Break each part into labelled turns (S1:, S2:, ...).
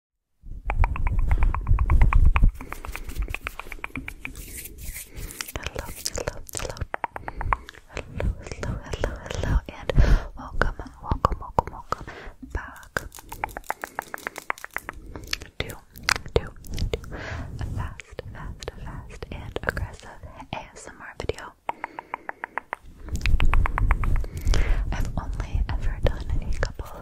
S1: Hello, hello, hello. Hello, hello, hello, hello, and welcome, welcome, welcome, welcome back to a fast, fast, fast, and aggressive ASMR video. I've only ever done a couple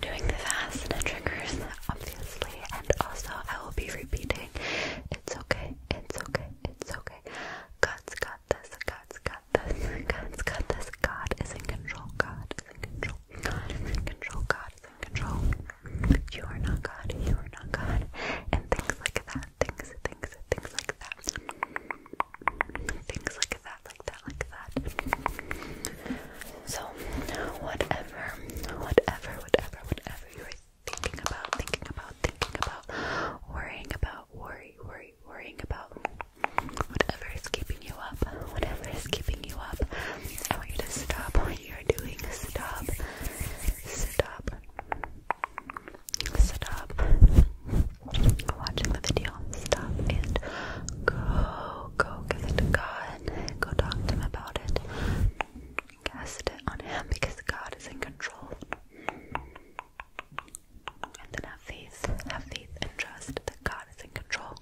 S1: doing the fast and triggers, obviously, and also I will be repeating, it's okay, it's okay, it's okay, God's got this, God's got this, God's got this, God is in control, God is in control, God is in control, God is in control, you are not God, you are not God, and things like that, things, things, things like that, things like that, like that, like that. So, whatever, whatever, whatever, whatever you're thinking about, thinking about, thinking about, worrying about, worry, worry, worrying about, whatever is keeping you up, whatever is keeping you up, I want you to stop what you're doing. Stop. Stop. Stop watching the video. Stop and go go
S2: give it to God and go talk to Him about it. Cast it on Him because God is in control. And then have faith, have faith and trust that God is in control.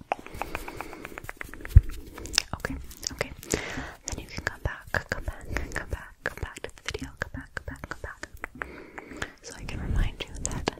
S2: Okay, okay. Then you can come back, come back, come back, come back to the video, come back, come back, come back. So I can remind you that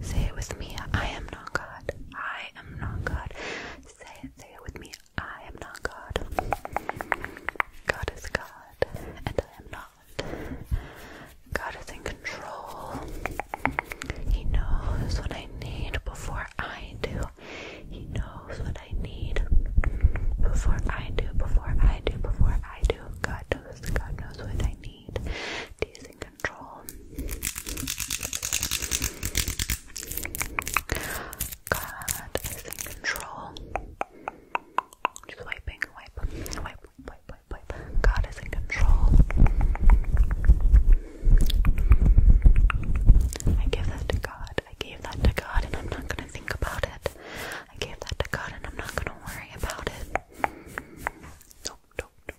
S2: Say it with me. I am not God. I am not God. Say it, say it with me. I am not God. God is God, and I am not. God is in control. He knows what I need before I do.
S3: He knows what I need before I do, before I do, before I do. God knows, God knows what I need. These God is in control. Just wiping, wipe, wipe, wipe, wipe, wipe. God is in control. I give that to God. I gave that to God, and I'm not gonna think about it. I gave that to God, and I'm not gonna worry about it. Nope, nope, nope,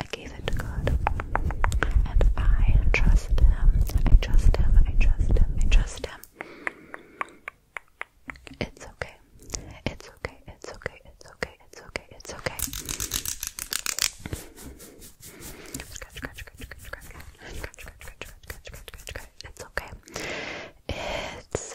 S3: I gave it to God. And I trust Him. I trust Him. I trust Him. I trust Him. It's okay. It's okay. It's okay. It's okay. It's okay. It's okay. Scratch, scratch, scratch, scratch, scratch, scratch, scratch, scratch, scratch, scratch, scratch, scratch, scratch. It's okay. It's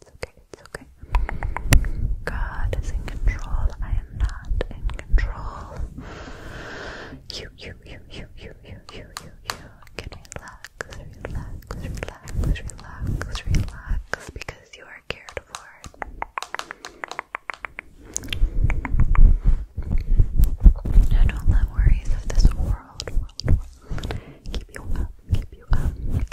S3: It's okay, it's okay. God is in control. I am not in control. You, you, you, you, you, you, you, you, you can relax, relax, relax, relax, relax because you are cared for. No, don't let worries of this world keep you up, keep you up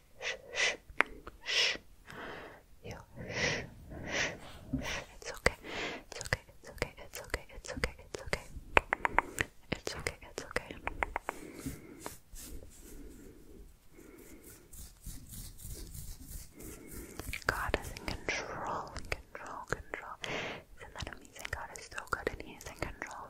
S3: shh, shh, you shh, It's okay. It's okay. It's okay. It's okay. It's okay. It's okay. It's okay. It's okay. God is in control. In control. Control. Isn't that amazing? God is so good, and He is in control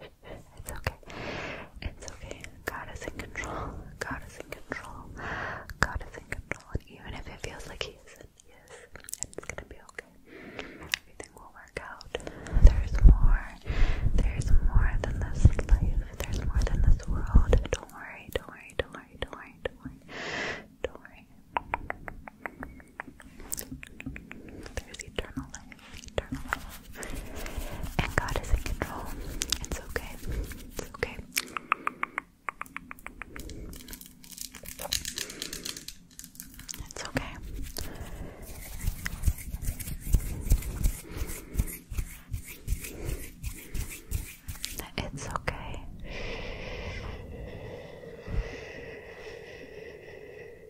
S3: It's okay. It's okay. God is in control. God is in control. God is in control. And even if it feels like He isn't, He is. And it's gonna be okay. Everything will work out. There's more. There's more than this life. There's more than this world. Don't worry. Don't worry. Don't worry. Don't worry. Don't worry. Don't worry. There is eternal life, eternal life. And God is in control. It's okay. It's okay. It's okay. It's okay.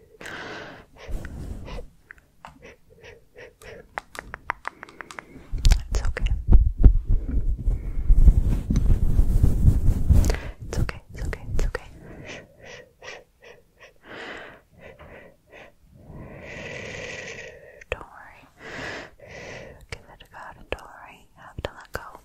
S3: It's okay. It's okay, it's okay, it's okay. Don't worry. Give it a go, don't worry. have to let go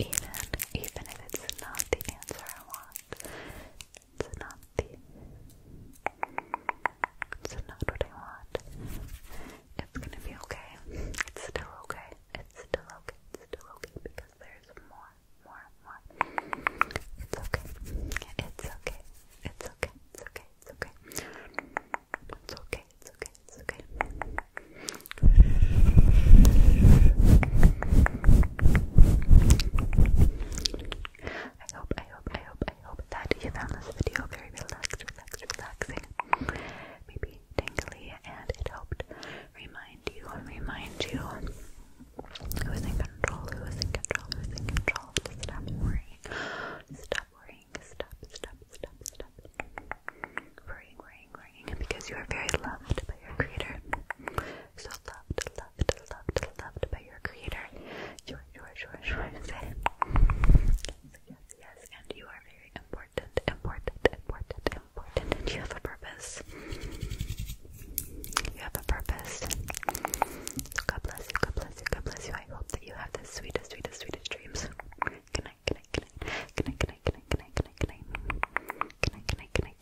S3: Even, even if it's not the answer I want, it's not the, it's not what I want, it's gonna be okay, it's still okay, it's still okay, it's still okay, because there's more, more, more, it's okay, it's okay, it's okay, it's okay, okay, it's okay. It's okay, it's okay, it's okay. I hope, I hope, I hope, I hope that you found this video very relaxed, relaxed, relaxing, maybe tingly, and it helped remind you, remind you, it was control, who is in control, who is in control. stop worrying. Stop worrying. Stop, stop, stop, stop. Worrying, worrying, worrying. Because you are very loved by your creator. So loved, loved, loved, loved by your creator. Sure, sure, sure, sure. Say it. Yes, yes, yes. And you are very important, important, important, important. you have a purpose. You have a purpose. God bless you, God bless you, God bless you. I hope that you have the sweetest, sweetest, sweetest dreams. good night, good night, good night, good night, good night, good night, good night, good night, good night, good night.